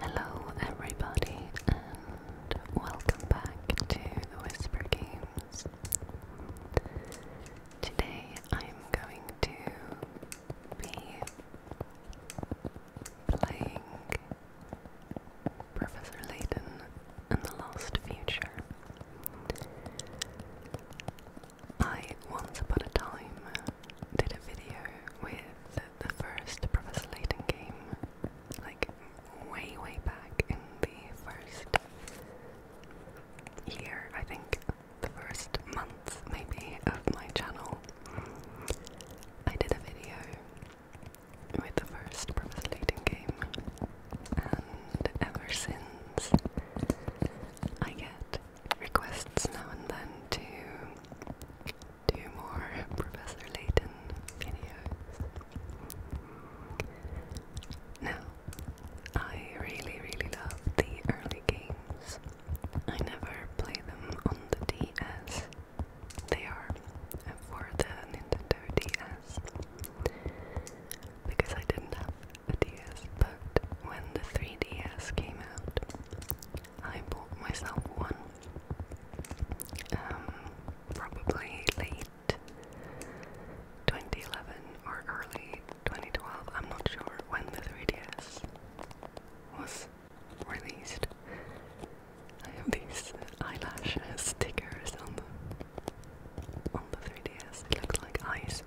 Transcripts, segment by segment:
Hello, everybody, and welcome back to Whisper Games. Today I'm going to be playing Professor Layton and the Lost Future. I once upon a time did a video with the first Professor Layton game, like way, way back in the first year, I think the first month maybe of my channel, I did a video with the first Purpose Leading game, and ever since I get requests now and then to do more Professor Layton videos. Now, I really, really love the early games. I never play them on the DS. They are for the Nintendo DS because I didn't have a DS. But when the 3DS came out, I bought myself one. Um, probably late 2011 or early 2012, I'm not sure when the 3DS was released. I have these eyelash stickers on the on the 3DS. It looks like eyes.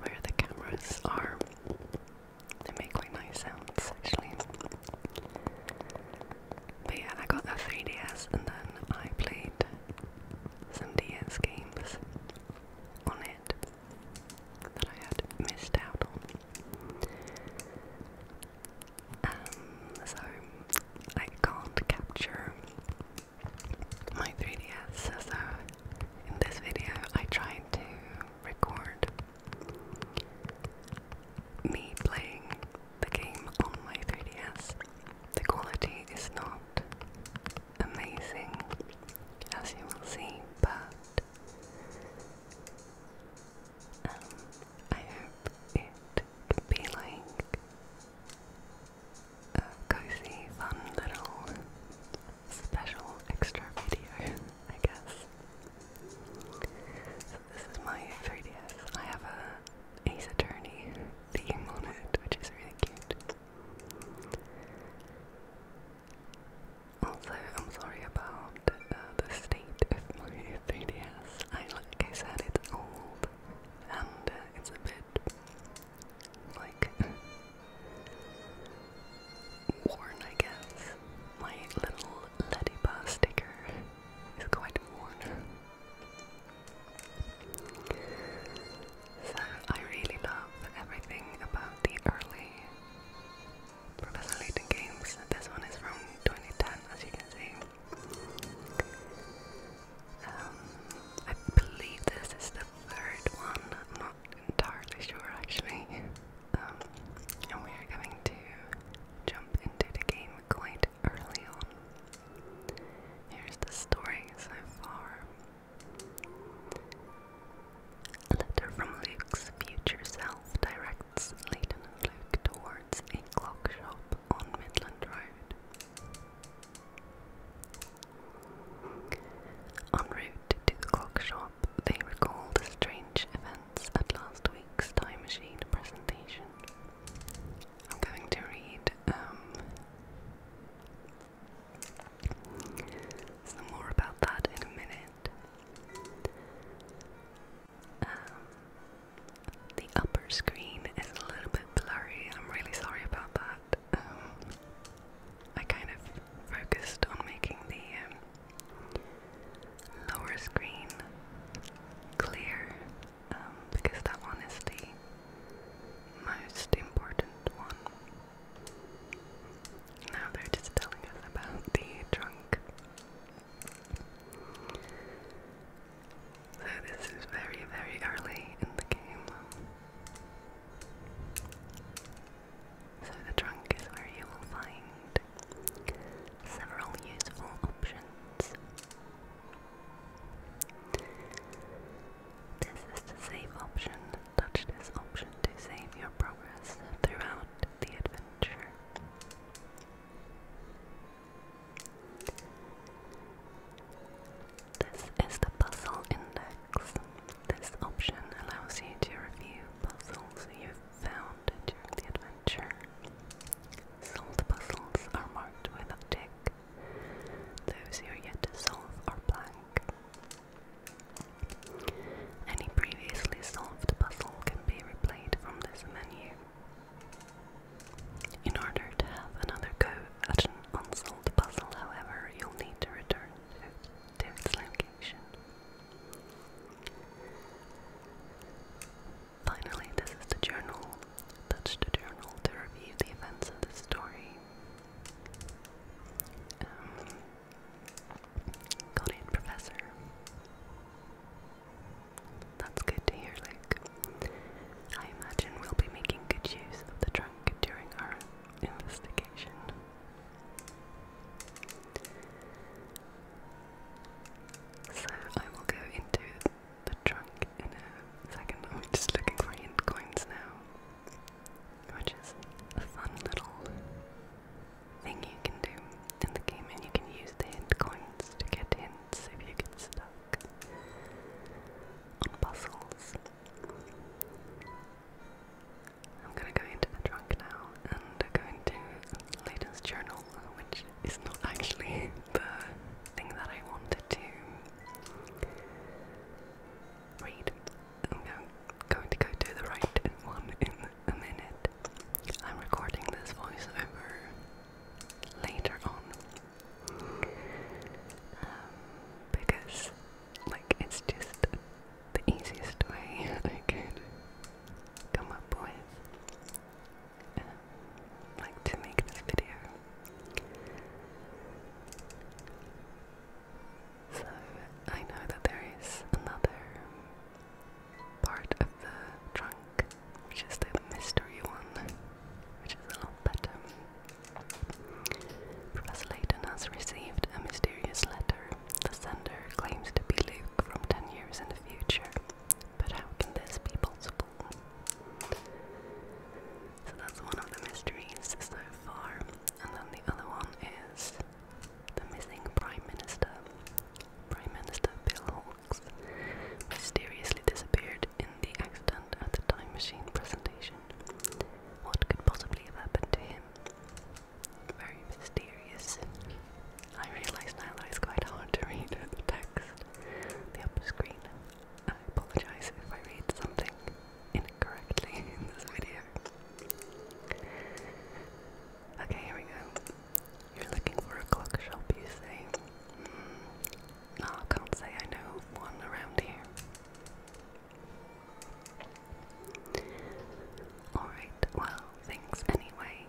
Where the cameras are. They make quite nice sounds actually. But yeah, I got the 3DS and then I played some DS games on it that I had missed out on. Um, so I can't capture my 3DS, so in this video I tried to record me playing the game on my 3DS. The quality is not amazing, as you will see, but um, I hope it can be like a cozy, fun little special extra video, I guess. So this is my 3DS. have a Ace Attorney theme on it, which is really cute. Also, I'm sorry about uh, the state of my 3DS. I, like I said, it's old and uh, it's a bit like worn, I guess. My little Ladybug sticker is quite worn. So I really love everything about the early Professor Layton games. This one is from 2010, as you can see. Um, I believe this is the third one. I'm not entirely sure, actually. Um, and we are going to jump into the game quite early on. Here's the story so far. A letter from Luke's future self directs Leighton and Luke towards a clock shop on Midland Road. En route to the clock shop, they recall strange events at last week's Time Machine presentation. I'm going to read um, so more about that in a minute. Um, the upper screen is a little bit blurry. I'm really sorry about that. Um, I kind of focused on making the um, lower screen clear because that one is the most important one. Now they're just telling us about the trunk. So this is very, very early in the game. So the trunk is where you will find several useful options. This is the save option. Touch this option to save your progress throughout the adventure. This is the puzzle index. This option allows you to review puzzles you've found during the adventure. Solved puzzles are marked with a tick. Those you yet solve are blank. Any previously solved puzzle can be replayed from this menu. In order to have another go at an unsolved puzzle, however, you'll need to return to, its location. Finally, this is the journal. Touch the journal to review the events of the story. Um, Professor. That's good to hear, Luke. I imagine we'll be making good use of the trunk during our investigation. So I will go into the trunk in a second. I'm just looking for hint coins now which is a fun little thing you can do in the game, and you can use the hint coins to get hints if you get stuck on puzzles. I'm gonna go into the trunk now and go into Layton's journal, which is not actually the thing that I wanted to read. I'm going to go to the right one in a minute. I'm recording this voiceover later on um, because, like, it's just the easiest way I could come up with, um, like, to make this video. So I know that there is another part of the trunk, which is the mystery one, which is a lot better. Professor Layton has received a mysterious letter. The sender claims to be Luke from 10 years in the future. But how can this be possible? So that's one of the mysteries so far. And then the other one is the missing Prime Minister. Prime Minister Bill Hawkes mysteriously disappeared in the accident at the Time Machine presentation. What could possibly have happened to him? Very mysterious. I realise now that it's quite hard to read the text. The upper screen. I apologise if I read something incorrectly in this video. Okay, here we go. You're looking for a clock shop, you say? Hmm. no, I can't say I know one around here. Alright, well, thanks anyway.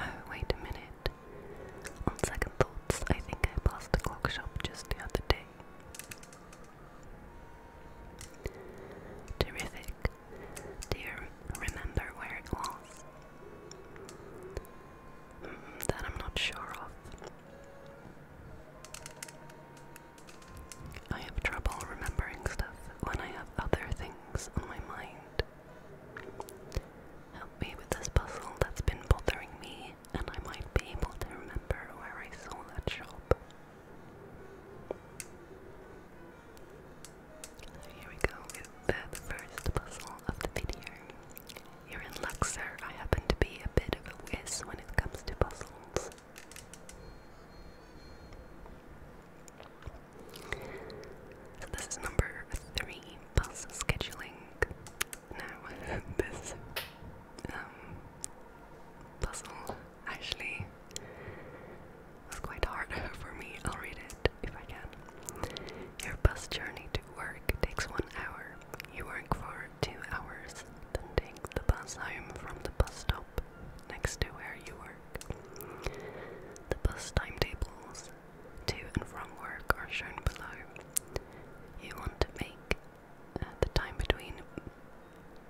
Oh, wait a minute. On second thoughts, I think I passed the clock shop just the other day. Terrific. Do remember where it was? Mm, that I'm not sure of. I have trouble remembering stuff when I have other things on my mind. Help me with this puzzle that's been bothering me me, and I might be able to remember where I saw that shop. here we go the first puzzle of the video. Here in Luxor, I happen to be a bit of a whiz when it comes to puzzles. So this is number three, puzzle scheduling now this um, puzzle actually was quite hard for me. I'll read it if I can. Your bus journey to work takes one hour. You work for two hours, then take the bus home from the bus stop next to where you work. The bus timetables to and from work are shown below. You want to make uh, the time between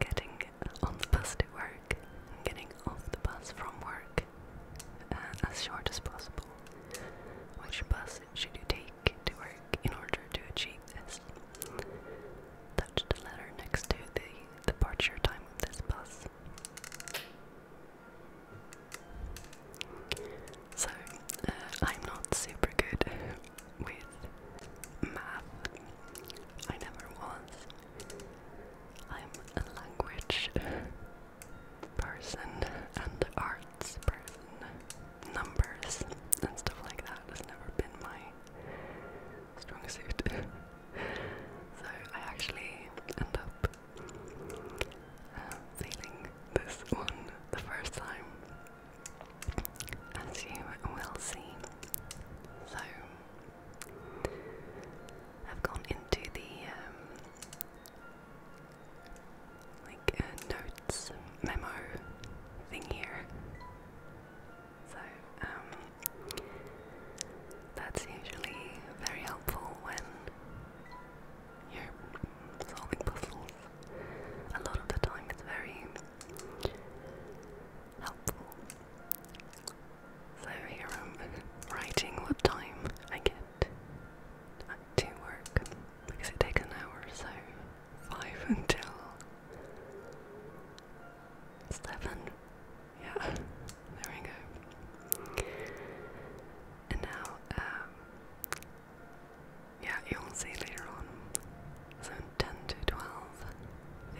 getting on the bus at work and getting off the bus from work uh, as short as possible. Which bus should you take to work in order to achieve this? Touch the letter next to the departure time of this bus. So, uh, I'm not super good with math. I never was. I'm a language person and arts person. Numbers and stuff like that has never been my strong suit. so I actually end up uh, failing this one the first time as you will see. So, I've gone into the um, like uh, notes memo thing here. So, um, that's usually very helpful when you're solving puzzles. A lot of the time, it's very helpful. So here I'm writing what time I get to work because it takes an hour so. Five until seven. Yeah, there we go. And now, um, yeah, you'll see later on. So 10 to 12,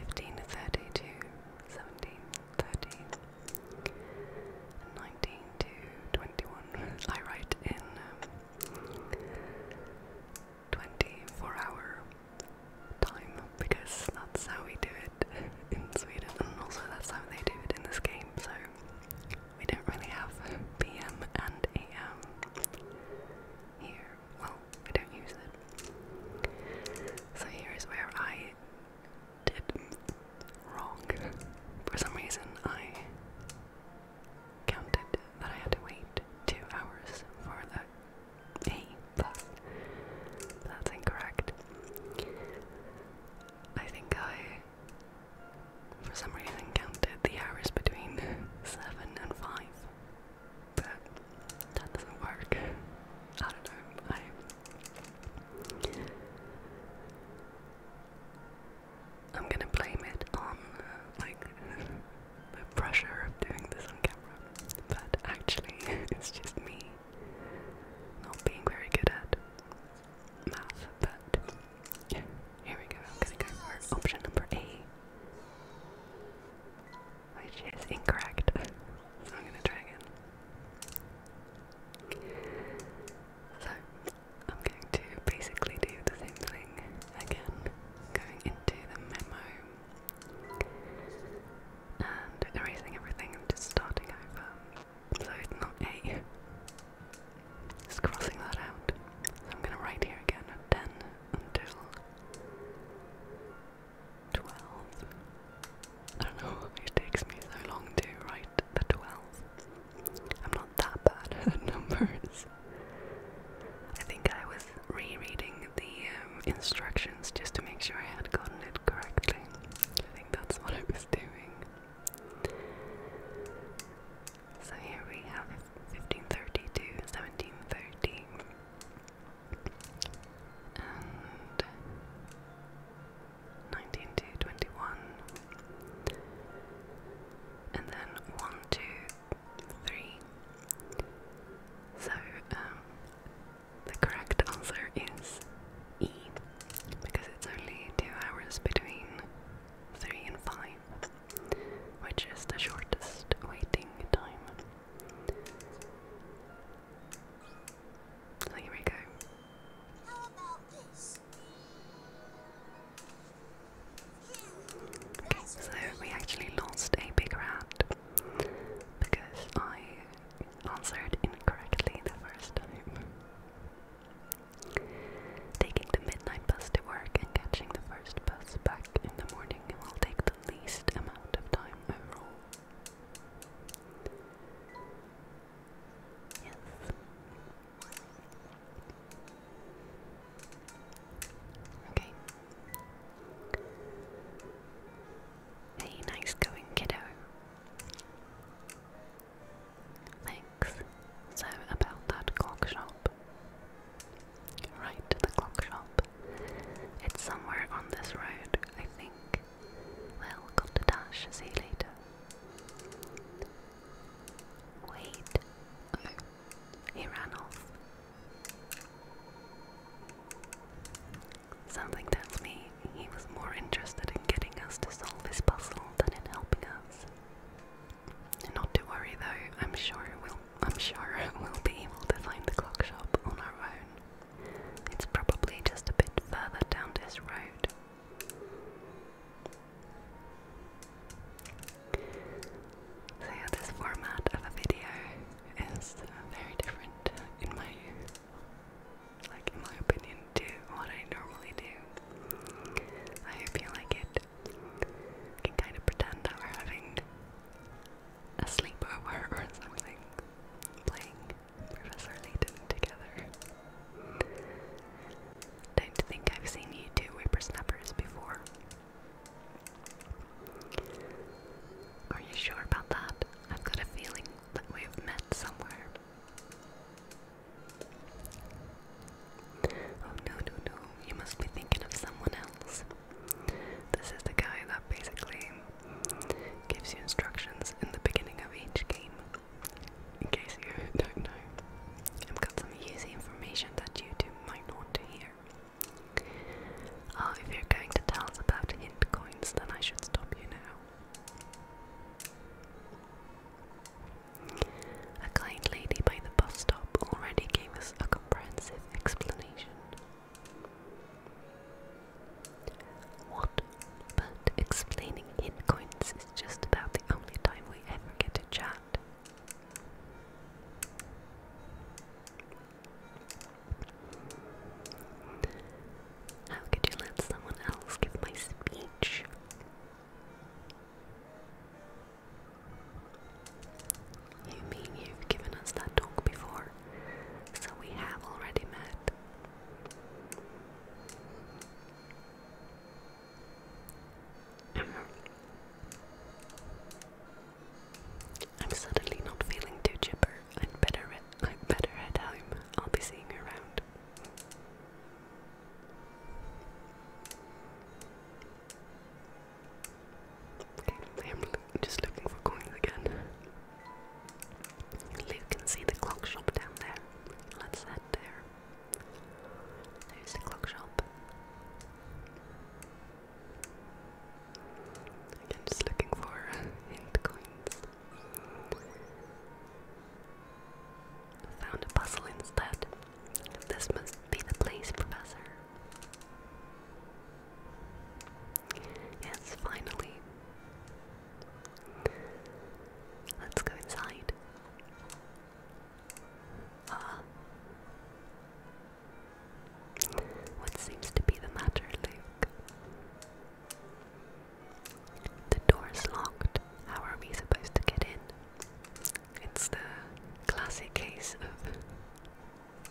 15 to 30 to 30, 19 to 21. I write in um, 24 hour time because that's how we do it in Sweden and also that's how they do it in this game. So we don't really have PM and AM here well, I don't use it. So here is where I did wrong. For some reason, I counted that I had to wait two hours for the A plus. That's incorrect. I think I, for some reason, counted the hours between 7 and 5 but that doesn't work. I don't know. I am gonna blame it on uh, like the pressure of doing this on camera, but actually it's just me not being very good at math. But here we go. i go option number eight which is incorrect. so I'm gonna try again. So I'm going to basically do the same thing again, going into the memo and erasing everything and just starting over. So it's not A. Just crossing that out. So I'm gonna write here again at 10 until 12. I don't know it takes me so long to write the 12. I'm not that bad at numbers. I think I was rereading the um, instructions just to make sure I had gotten it correctly. I think that's what I was doing. So here we have 1530 to 1730. And um, 19 to 21. And then 1 to 3. So, um, the correct answer is E because it's only two hours between three and five which is the shortest waiting time. So here we go. Okay, so we actually lost a big rat because I answered incorrectly the first time. Taking the midnight bus to work and catching the first bus back in the morning crafting will take the least amount of time overall. Yes. Okay. Hey, nice going, kiddo. Thanks. So, about that clock shop right the clock shop. It's somewhere on this road, I think. Well, got to dash, see you later. Wait. Oh, he ran off. Something tells me he was more interested in getting us to solve this puzzle than in helping us. Not to worry though, I'm sure we'll I'm sure we'll be able to find the clock shop on our own. It's probably just a bit further down this road. So yeah, this format of a video is uh, very different uh, in my, like in my opinion, to what I normally do. I hope like it. can kind of pretend that we're having a sleepover or something, playing Professor Layton together. Don't think I've seen you do whippersnappers before. Are you sure about that? I've got a feeling that we've met somewhere. Oh no, no, no, you must be thinking of someone else. This is the guy that basically gives you instructions in the beginning of each game. In case you don't know, I've got some easy information that YouTube might not hear. Uh, if you're going to tell us about hint then I should stop you now. A kind lady by the bus stop already gave us a comprehensive explanation. What? But explaining hint is just about the only time we ever get to chat. How could you let someone else give my speech? You mean you've given us that talk before? So we have already met. I'm suddenly not feeling too chipper. I'd better I'd better head home. I'll be seeing you around. I am just looking for coins again. You can see the clock shop down there. Let's head there. There's the clock shop. Again, just looking for uh, hint coins. Found a puzzle instead. This must be the place, Professor. Yes, finally. Let's go inside. Ah. what seems to be the matter, Luke? The door's locked. How are we supposed to get in? It's the classic case of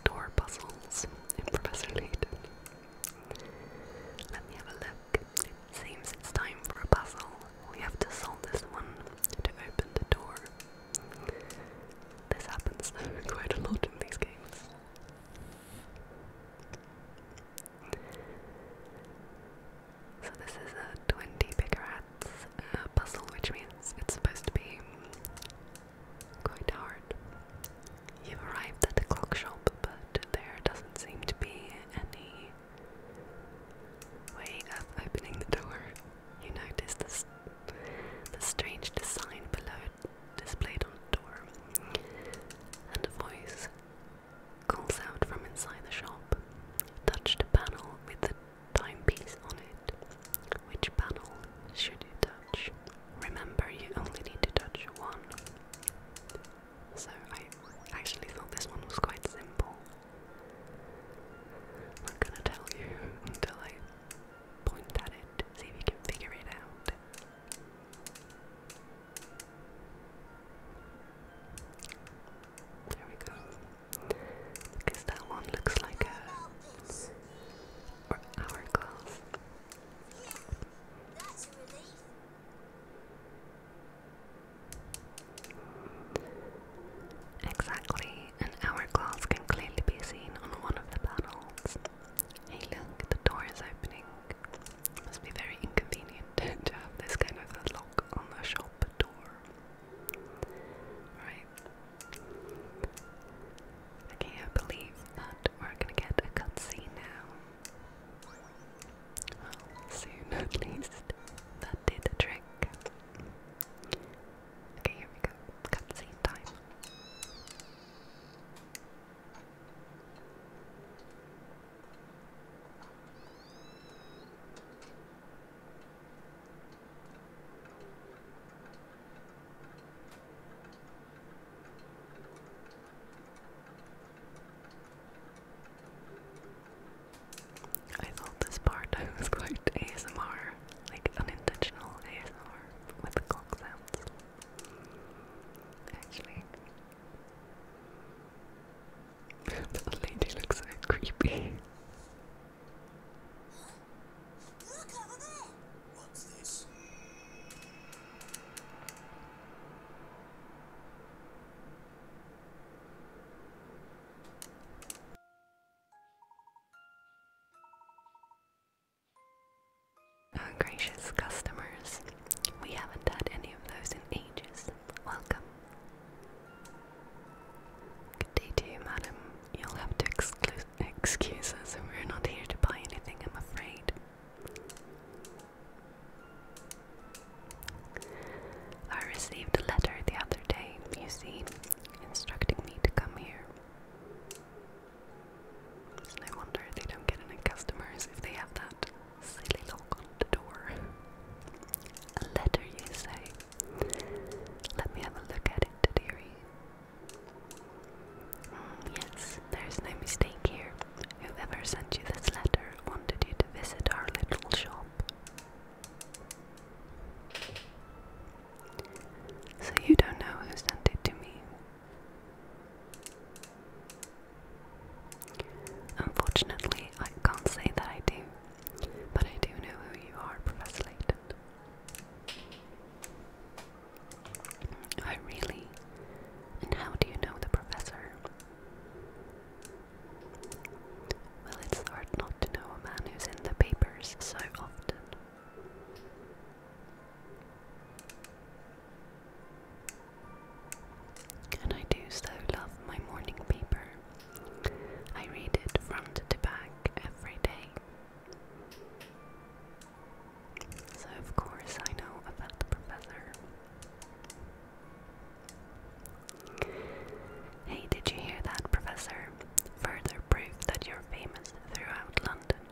door puzzles in Professor Layton. Let me have a look. seems it's time for a puzzle. We have to solve this one to open the door. This happens quite a lot in these games. So this is a 20 bigger hats uh, puzzle, which means it's supposed to be Quite hard. You've arrived at the clock shop, but there doesn't seem to be any way of opening the door. You notice this, the strange design below displayed on the door, and a voice calls out from inside the shop. Touch the panel with the timepiece on it. Which panel should you touch? Remember, you only need to touch one. So I actually thought this one was quite simple. I'm gonna tell you until I point at it, see if you can figure it out. There we go. Because that one looks like a or hourglass. That's a relief. Exactly, can clearly be seen on one of the panels. look, the door is opening. must be very inconvenient to have this kind of a lock on the shop door. Right, I can't believe that we're gonna get a cutscene now. Well, soon at least. That did the trick. Okay, here we go. Cutscene time. I thought this part was quite ASMR, like unintentional ASMR with the clock sounds. Actually, the lady looks creepy. Look over there. Oh gracious customers, we haven't had any of those in ages. Welcome. Good day to you, madam. You'll have to excuse excuses, and we're not here to buy anything, I'm afraid. I received a letter the other day, you see, instructing me to come here. no wonder they don't get any customers if they have that silly lock on the door. A letter, you say? Let me have a look at it, dearie. Mm, yes, there's no mistake here. Whoever sent you this letter wanted you to visit our little shop. So you don't know who sent it to me. Unfortunately, I can't say that I do, but I do know who you are, Professor Layton. I really? And how do you know the professor? Well, it's hard not to know a man who's in the papers so often. And I do so love my morning paper. I read it front to back every day. So, of course, I know about the professor. Hey, did you hear that, professor? Further proof that you're famous throughout London.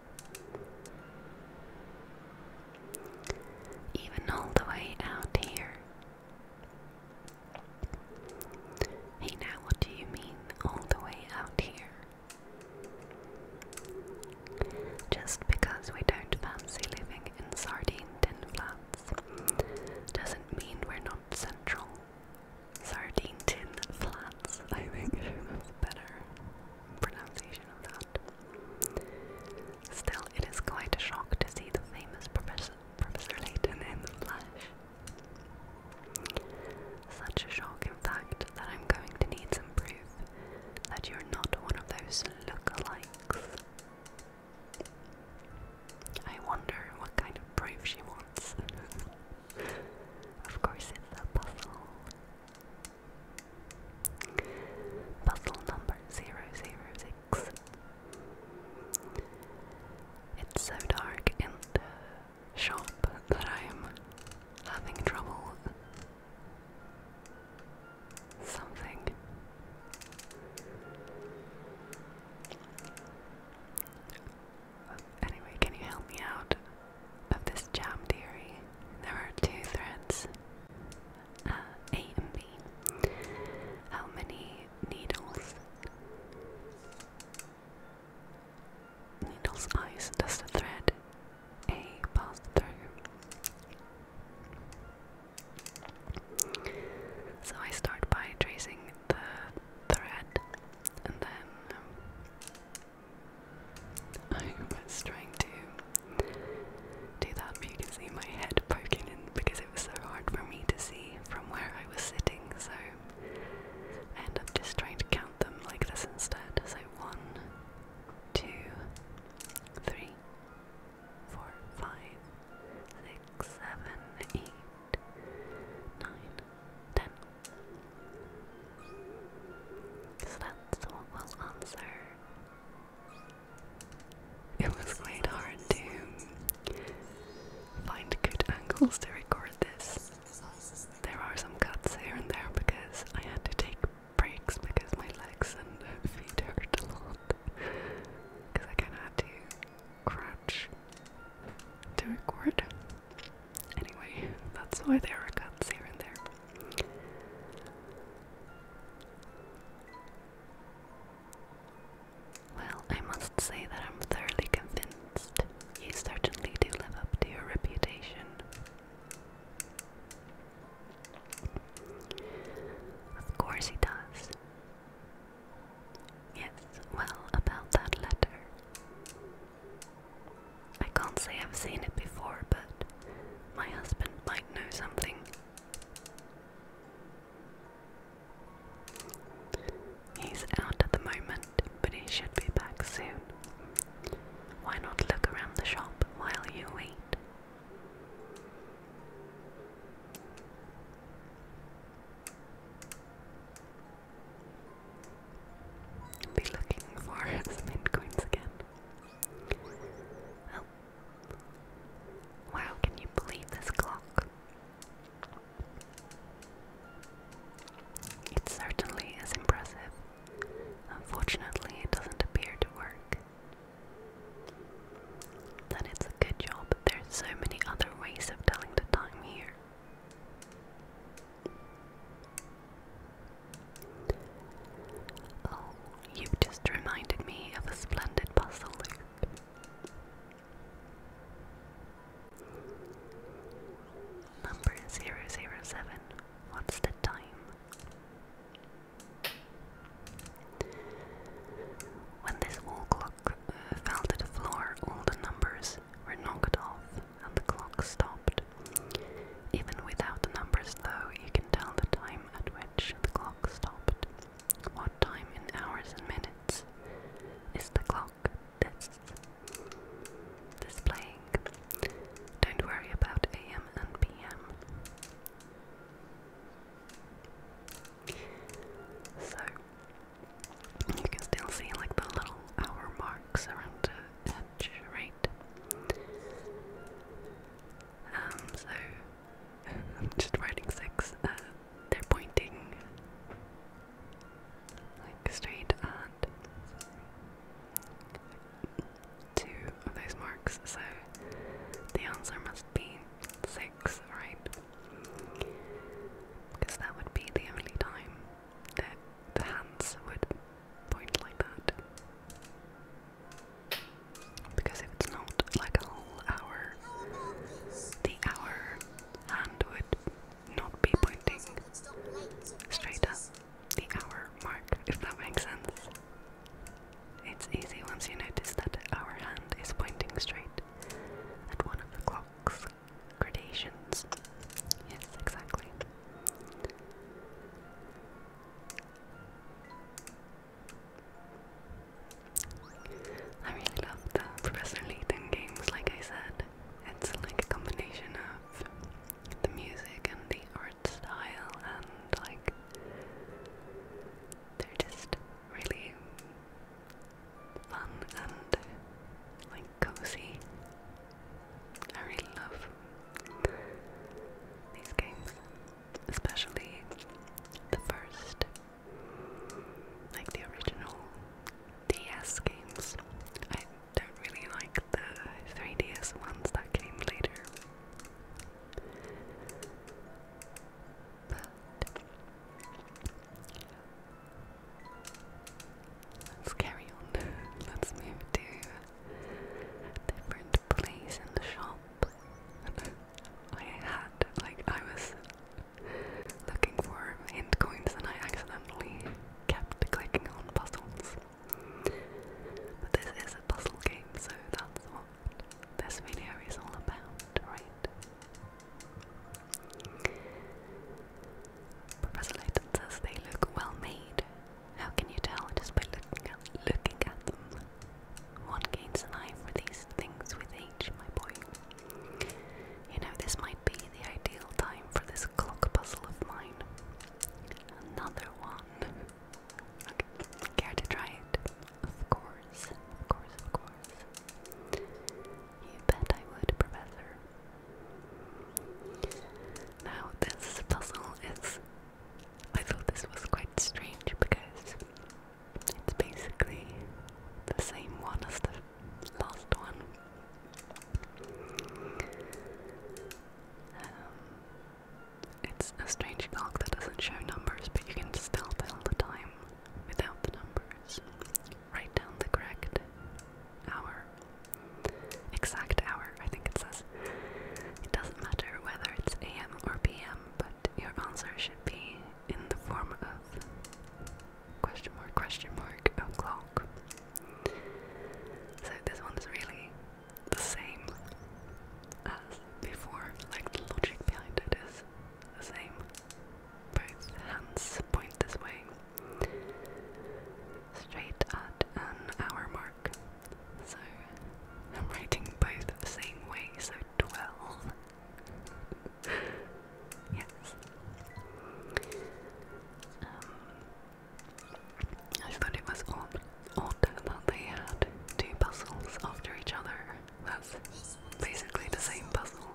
Even all the way out here. Hey, now what do you mean all the way out here? Just because we don't fancy living in sardine tin flats doesn't mean we're not central. Sardine tin flats, I think that's better pronunciation of that. Still, it is quite a shock to see the famous Professor, Professor Layton in the flesh. Such a shock fact that I'm going to need some proof that you're not one of those lookalikes. I wonder what kind of proof she wants. of course, it's a puzzle. Puzzle number 006. It's so dark in the shop that I'm having trouble something. Anyway, can you help me out of this jam theory? There are two threads, uh, A and B. How many needles Needle's eyes does the thread A pass through. So I start by tracing the thread and then um, I was trying to do that you can see my head poking in because it was so hard for me to see from where I was sitting so I end up just trying to count them like this instead. So one, two, three, four, five, six, seven, eight, nine, ten. So that's what we'll answer. It was quite hard to find good angles to record this. There are some cuts here and there because I had to take breaks because my legs and feet hurt a lot. Because I kind of had to crouch to record. Anyway, that's why there are cuts here and there. Well, I must say that I'm thoroughly convinced you certainly do live up to your reputation. Of course he does. Yes, well, about that letter. I can't say I've seen it before, but my husband might know something. He's out at the moment, but he should be back soon. Why not look around the shop while you wait? Be looking for some coins again. Oh. Wow, can you believe this clock? It certainly is impressive. Unfortunately, it doesn't appear to work. Then it's a good job, there's so many other ways of telling the time here. Oh, you just reminded me of a splendid puzzle loop. Number zero zero seven. What's the time? When this wall clock uh, fell to the floor, all the numbers were knocked off and the clock stopped. Even without the numbers, though, you can tell the time at which the clock stopped. What time in hours and minutes is the clock that's displaying? Don't worry about AM and PM. So you can still see like the little hour marks around the edge, right? Um, so I'm just writing six. Uh, they're pointing like straight at two of those marks, so the answer must be six, right? Because that would be the only time that the hands would point like that. Because if it's not like a whole hour, the hour hand would not be pointing straight up the hour mark, if that makes sense. It's easy once you notice that our hand is pointing straight and one of the clock's gradations. Yes, exactly. I really love the Professor Layton games, like I said. It's like a combination of the music and the art art style and like they're just really fun and like cozy. I really love these games, especially the first, like the original DS games. I don't really like the 3DS ones that came later. But let's carry on. Let's move to a different place in the shop. I had, like, I was looking for hint coins and I accidentally kept clicking on puzzles. But this is a puzzle game, so that's what this video is all about, right? Professor Layton says they look well made. How can you tell just by looking at, looking at them? One gains an eye for these things with age, my boy. You know, this might be the ideal time for this clock puzzle of mine. Another one. Care to try it? Of course, of course, of course. You bet I would, Professor. Now, this puzzle is. I thought this was quite strange because it's basically the same one as the last one. Um, it's a strange clock that doesn't show numbers, but you can still tell the time without the numbers. Write down the correct hour. Exact hour, I think it says. It doesn't matter whether it's AM or PM, but your answer should be in the form of question mark, question mark, o'clock. So this one one's really the same as before, like the logic behind it is the same. Both hands point this way, straight at an hour mark. So I'm writing both the same way, so 12. yes. Um, I thought it was odd, that they had two puzzles after each other. That's basically the same puzzle.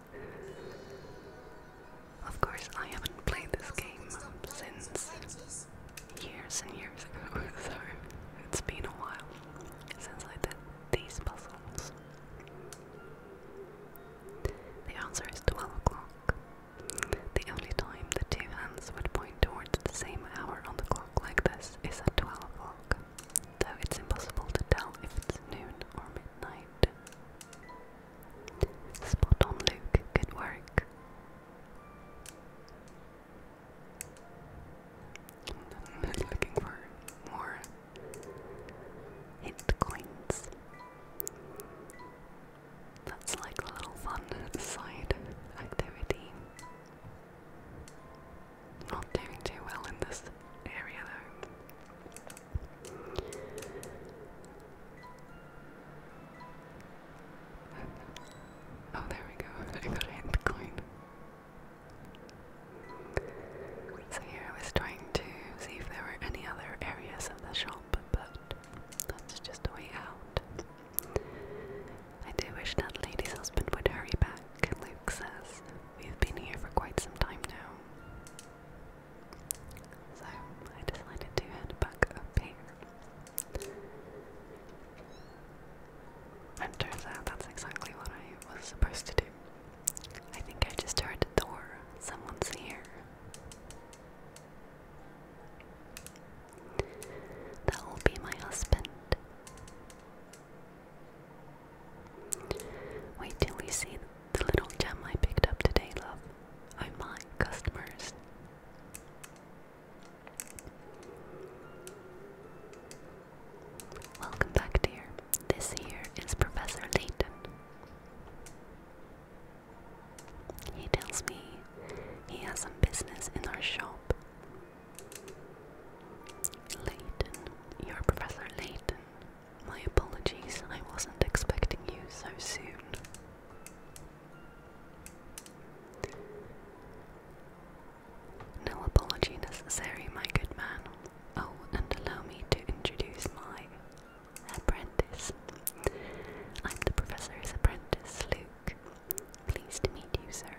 Of course, I haven't played this game since years and years ago, so it's been a while It sounds like that these puzzles. The answer is 12 o'clock. The only time the two hands would point point towards the same hour on the clock like this is at 12 o'clock, though it's impossible to tell if it's noon or midnight. Spot on, Luke. Good work. looking for more hit coins. That's like a little fun side activity. Not doing too well in this area though. Oh, there we go. I got a hint So here I was trying to see if there were any other areas of the shop, but that's just a way out. I do wish that lady's husband would hurry back, Luke says. We've been here for quite some time now. So I decided to head back up here. turns out that's exactly what I was supposed to do. I think I just heard the door. Someone's here. That will be my husband. Wait till we see the little gem I picked up today, love. Oh my, customers. Welcome back, dear. This here is Professor Layton. He tells me he has some business in our shop Layton. you Professor Layton. My apologies, I wasn't expecting you so soon. No apology necessary, my good man. Oh, and allow me to introduce my apprentice. I'm the professor's apprentice, Luke. Pleased to meet you, sir.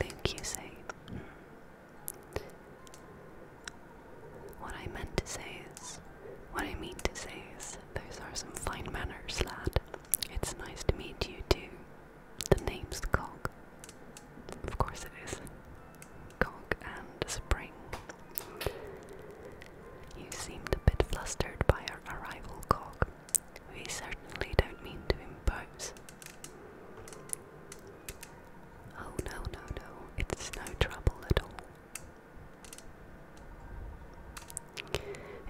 Luke, you say? What I meant to say is, what I mean to say is, those are some fine manners, lad. It's nice to meet you, too. The name's cock. Of course it is. cock and Spring. You seemed a bit flustered by our arrival, cock. We certainly don't mean to impose. Oh, no, no, no, it's no trouble at all.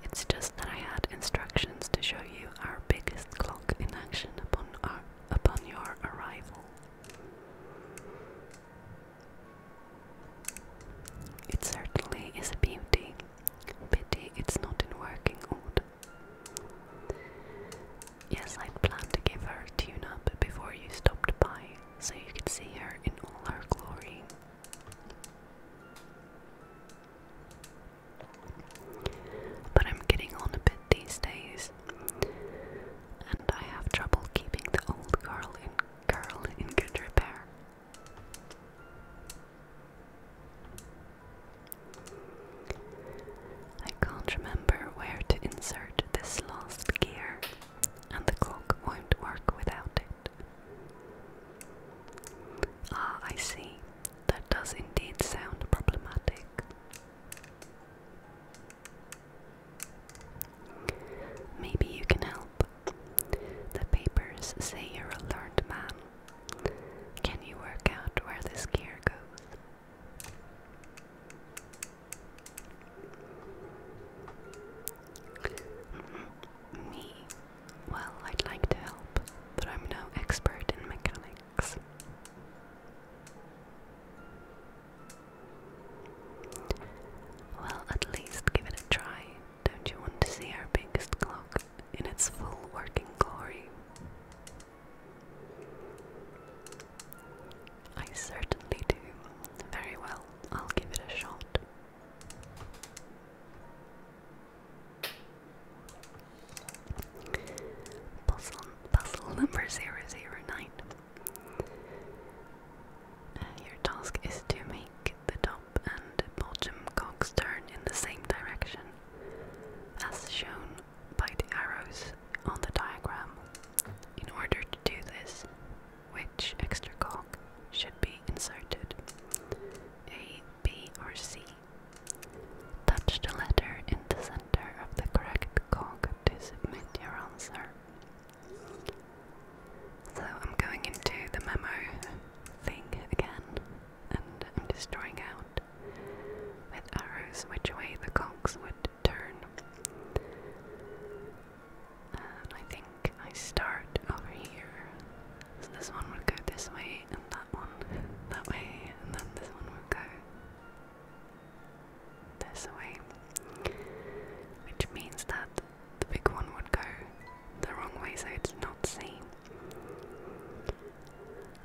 It's just that I had instructions to show you our biggest clock in action upon, our, upon your arrival. It certainly is a beauty, Pity it's not in working order. Yes, I'd planned to give her a tune up before you stopped by, so you could see her in all her glory. But I'm getting on a bit these days, and I have trouble keeping the old girl in, girl in good repair. I can't remember where to insert this last gear, and the clock won't work without it. Ah, I see. That does indeed sound problematic. Maybe you can help. The papers say you're a learned man can you work out where this gear goes? Mm-hmm. Me? Well, I'd like to help, but I'm no expert in mechanics. Well, at least give it a try. Don't you want to see our biggest clock? in its full working glory. I certainly do. Very well, I'll give it a shot. Puzzle, puzzle number 009. Uh, your task is to make the top and and Boljum Cox turn in the same direction, as shown by the arrows on the diagram. In order to do this, which extra cog should be inserted? A, B, or C? Touch the letter in the center of the correct cog to submit your answer. So I'm going into the memo thing again and I'm destroying out with arrows which way the cogs would turn. And I think I start over here. So this one would go this way, and that one that way, and then this one would go this way. Which means that the big one would go the wrong way so it's not seen.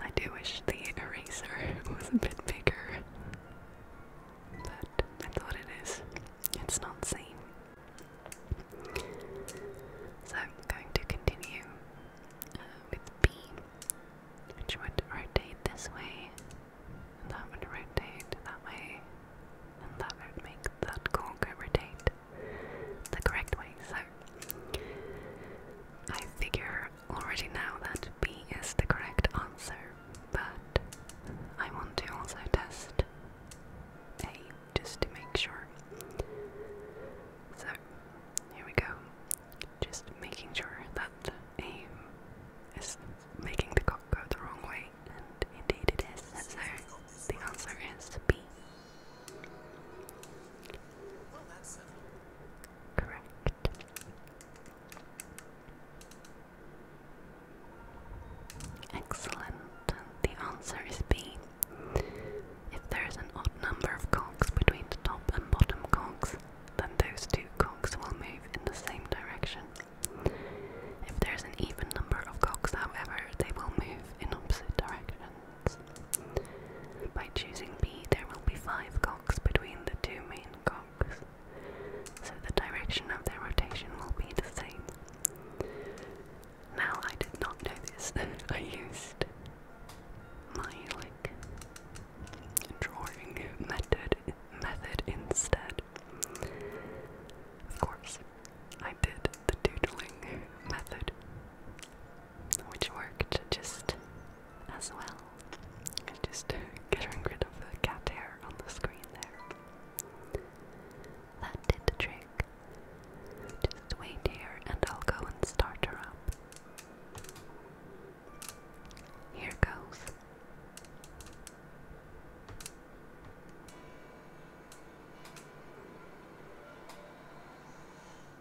I do wish the eraser was a bit bigger, but that's what it is. It's not seen. So I'm going to continue uh, with B, which would rotate this way, and that would rotate that way, and that would make that cork rotate the correct way. So I figure already now that B is the correct answer, but I want to also test A just to make sure. So here we go. Just making sure that A is making the cock go the wrong way, and indeed it is. So the answer is B. Correct. Excellent. the answer is B. If there is an odd number of cogs between the top and bottom cogs, then those two cogs will move in the same direction. If there is an even number of cogs, however, they will move in opposite directions. By choosing B, there will be five cocks between the two main cocks, so the direction of their rotation will be the same. Now, I did not know this. I used my like drawing method method instead. Of course, I did the doodling method which worked just as well. Just getting rid of the cat hair on the screen there. That did the trick. Just wait here and I'll go and start her up. Here goes.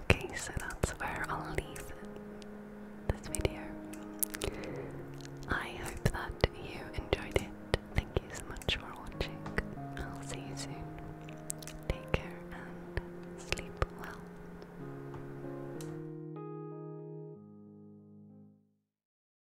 Okay, so that's where I'll leave this video. I hope that you enjoyed it. Thank you so much for watching. I'll see you soon. Take care and sleep well.